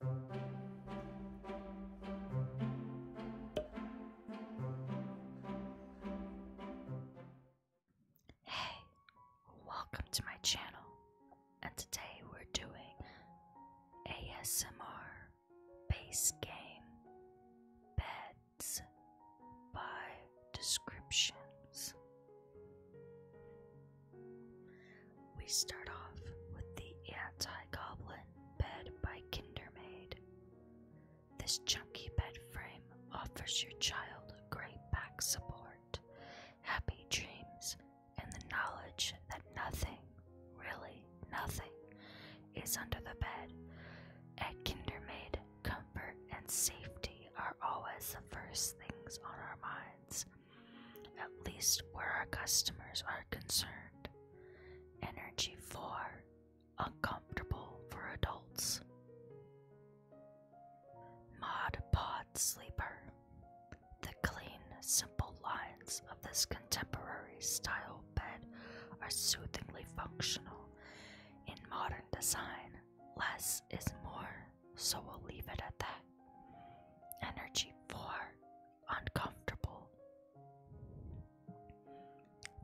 Hey, welcome to my channel, and today we're doing ASMR base game beds by descriptions. We start off with The Anti Goblin Bed by Kindermaid. This chunky bed frame offers your child great back support, happy dreams, and the knowledge that nothing, really nothing, is under the bed. At Kindermaid, comfort and safety are always the first things on our minds at least where our customers are concerned. Energy 4 Uncomfortable for adults. Mod Pod Sleeper. The clean, simple lines of this contemporary style bed are soothingly functional. In modern design, less is more, so we'll leave it at that. Energy 4 uncomfortable.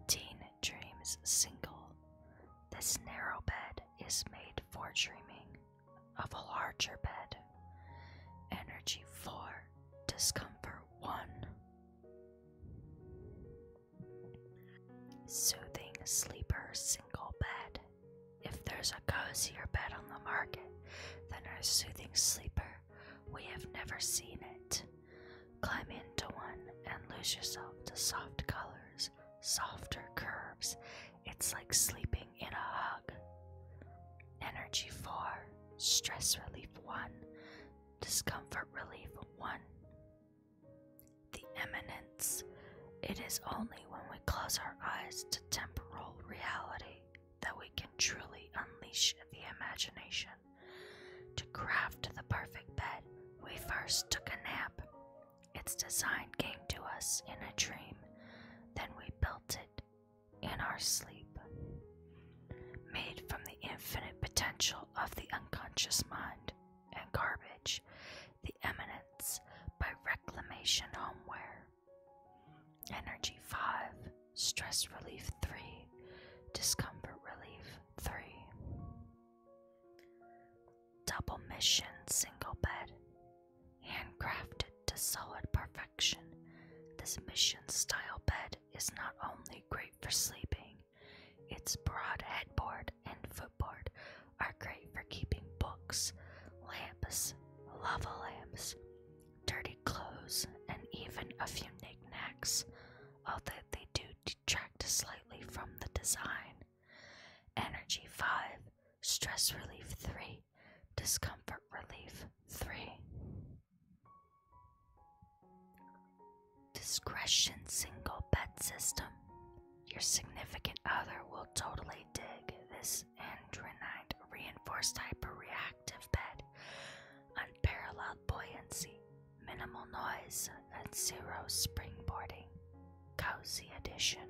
Teen Dreams Single This narrow bed is made for dreaming of a larger bed. Energy 4, discomfort 1. Soothing Sleeper Single Bed If there's a cozier bed on the market than our soothing sleeper, we have never seen it. Climb into one and lose yourself to soft colors, softer curves. It's like sleeping in a hug. Energy 4, stress relief 1, discomfort relief 1. The eminence. It is only when we close our eyes to temporal reality that we can truly unleash the imagination. To craft the perfect bed, we first took a nap. Its design came to us in a dream, then we built it in our sleep. Made from the infinite potential of the unconscious mind and garbage, the eminence by reclamation homeware Energy 5, stress relief 3, discomfort relief 3. Double mission single bed. Handcrafted to solid perfection, this mission style bed is not only great for sleeping, its broad headboard and footboard are great for keeping books, lamps, lava lamps, dirty clothes, and even a few knickknacks, although they do detract slightly from the design. Energy 5, Stress Relief 3, Discomfort Relief 3. Discretion Single Bed System. Your significant other will totally dig this andronite reinforced hyperreactive bed, unparalleled buoyancy, minimal noise, and zero springboarding. Cozy addition.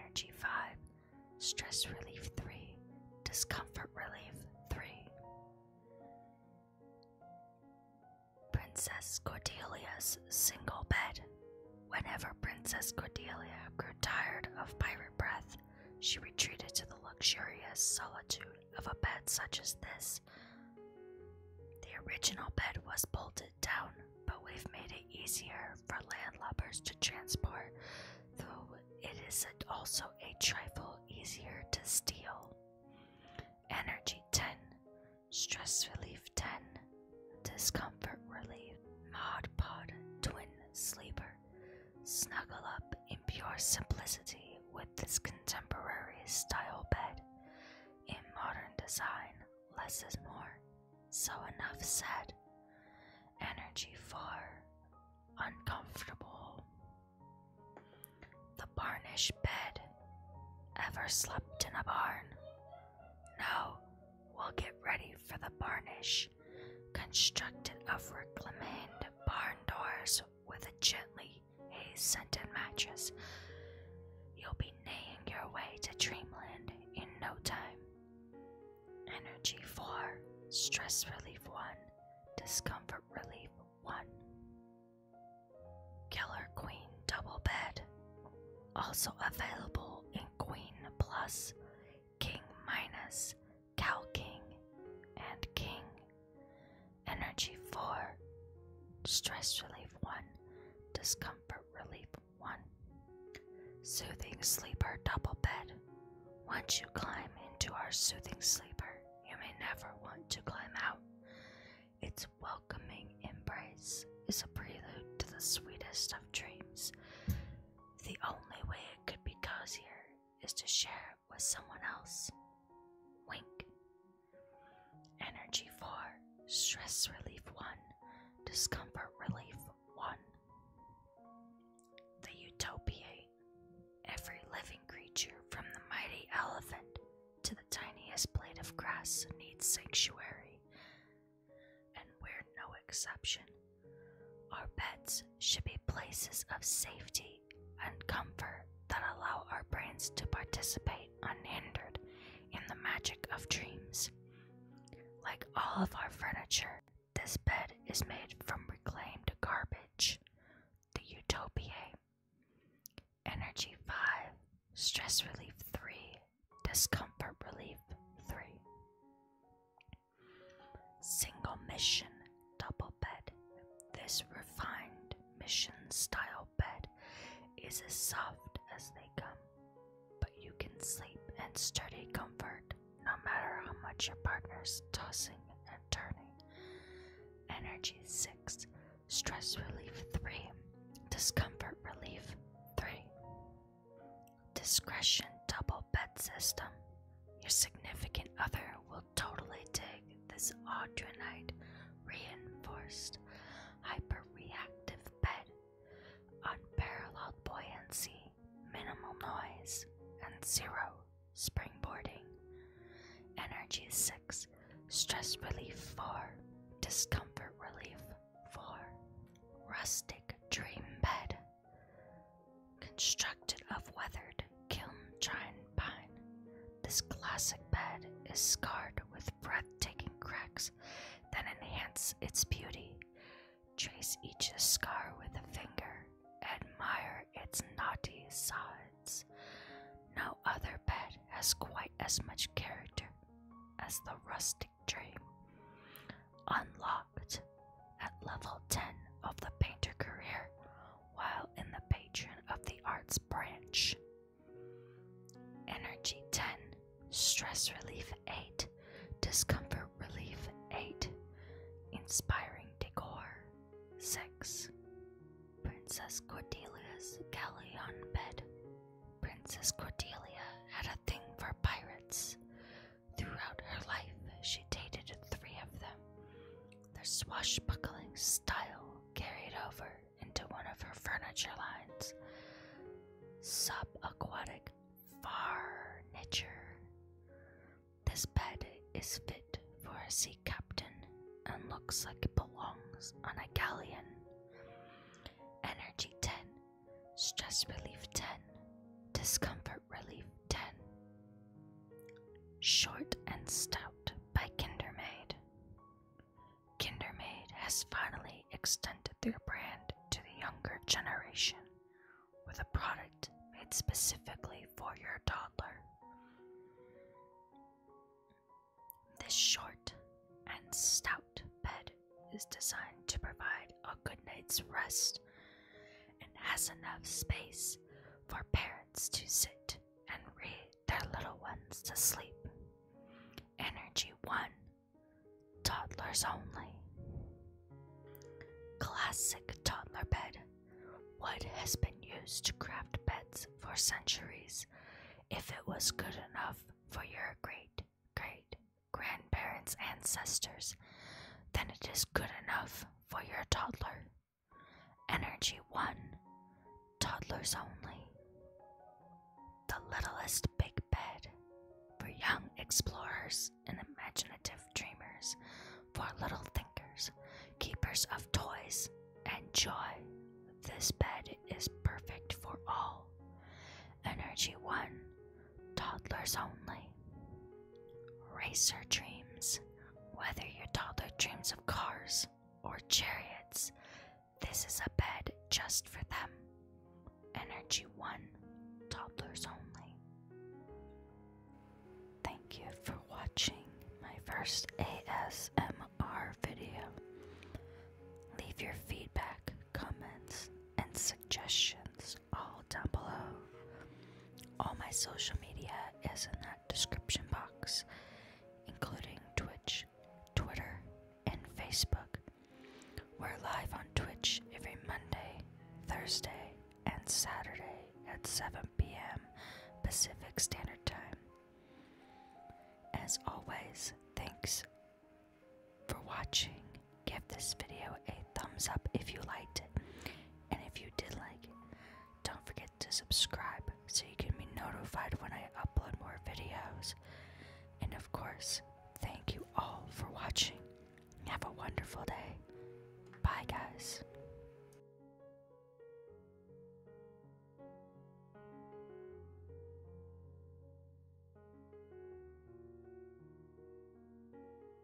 Energy 5, Stress Relief 3, Discomfort Relief 3. Princess Cordelia's Single Bed. Whenever Princess Cordelia grew tired of pirate breath, she retreated to the luxurious solitude of a bed such as this. The original bed was bolted down, but we've made it easier for landlubbers to transport, though it is also a trifle easier to steal. Energy 10, Stress Relief 10, Discomfort Relief, Mod Pod Twin Sleeper. Snuggle up in pure simplicity with this contemporary style bed. In modern design, less is more, so enough said. Energy far, uncomfortable. The Barnish bed. Ever slept in a barn? No, we'll get ready for the Barnish constructed of reclaimed barn doors with a gently haze scented mattress. You'll be neighing your way to dreamland in no time. Energy 4, Stress Relief 1, Discomfort Relief 1. Killer Queen Double Bed, also available in Queen Plus, King Minus, Cow King, and King. Energy 4, Stress Relief 1, Discomfort Relief 1. Soothing Sleeper Double Bed. Once you climb into our soothing sleeper, you may never want to climb out. Its welcoming embrace is a prelude to the sweetest of dreams. The only way it could be cozier is to share with someone else. Wink. Energy 4, stress relief 1, discomfort relief 1. The utopia. Every living creature, from the mighty elephant to the tiniest blade of grass, needs sanctuary, and we're no exception. Our beds should be places of safety and comfort that allow our brains to participate unhindered in the magic of dreams. Like all of our furniture, this bed is made from reclaimed garbage. The Utopiae. Energy 5, Stress Relief 3, Discomfort Relief 3. Single mission, double bed. This refined mission style bed is as soft as they come, but you can sleep in sturdy comfort no matter how much your partner's tossing and turning. Energy 6, stress relief 3, discomfort relief 3 discretion double bed system. Your significant other will totally dig this audronite reinforced hyperreactive bed. Unparalleled buoyancy, minimal noise, and zero springboarding. Energy 6, stress relief 4, discomfort relief 4. Rustic dream bed. Constructed of weathered kiln chine pine, this classic bed is scarred with breathtaking cracks that enhance its beauty. Trace each scar with a finger, admire its knotty sides. No other bed has quite as much character as the rustic dream. Unlock at level 10 of the painter career while in the patron of the arts branch. Energy 10, stress relief 8, discomfort relief 8, inspiring decor 6. Princess Cordelia's galleon bed. Princess Cordelia had a thing for pirates, Throughout her life, she dated three of them. Their swashbuckling style carried over into one of her furniture lines subaquatic furniture. This bed is fit for a sea captain and looks like it belongs on a galleon. Energy 10, stress relief 10, discomfort. Relief 10 Short and Stout by Kindermaid. Kindermaid has finally extended their brand to the younger generation with a product made specifically for your toddler. This short and stout bed is designed to provide a good night's rest and has enough space for parents to sit and read their little ones to sleep. Energy 1 Toddlers only. Classic toddler bed. Wood has been used to craft beds for centuries if it was good enough for your great great grandparents' ancestors, then it is good enough for your toddler. Energy 1 Toddlers Only. The Littlest Big Bed for young explorers and imaginative dreamers, for little thinkers, keepers of toys, and joy. This bed is perfect for all. Energy 1 Toddlers only. Racer dreams. Whether your toddler dreams of cars or chariots, this is a bed just for them. Energy 1. Toddlers only. Thank you for watching my first ASMR video. Leave your feedback, comments, and suggestions all down below. All my social media is in that description box, including Twitch, Twitter, and Facebook. We're live on Twitch every Monday, Thursday, and Saturday at 7 p.m. Pacific Standard Time. As always, thanks for watching Give this video a thumbs up if you liked it, and if you did like it, don't forget to subscribe so you can be notified when I upload more videos. And of course, thank you all for watching. Have a wonderful day. Bye, guys.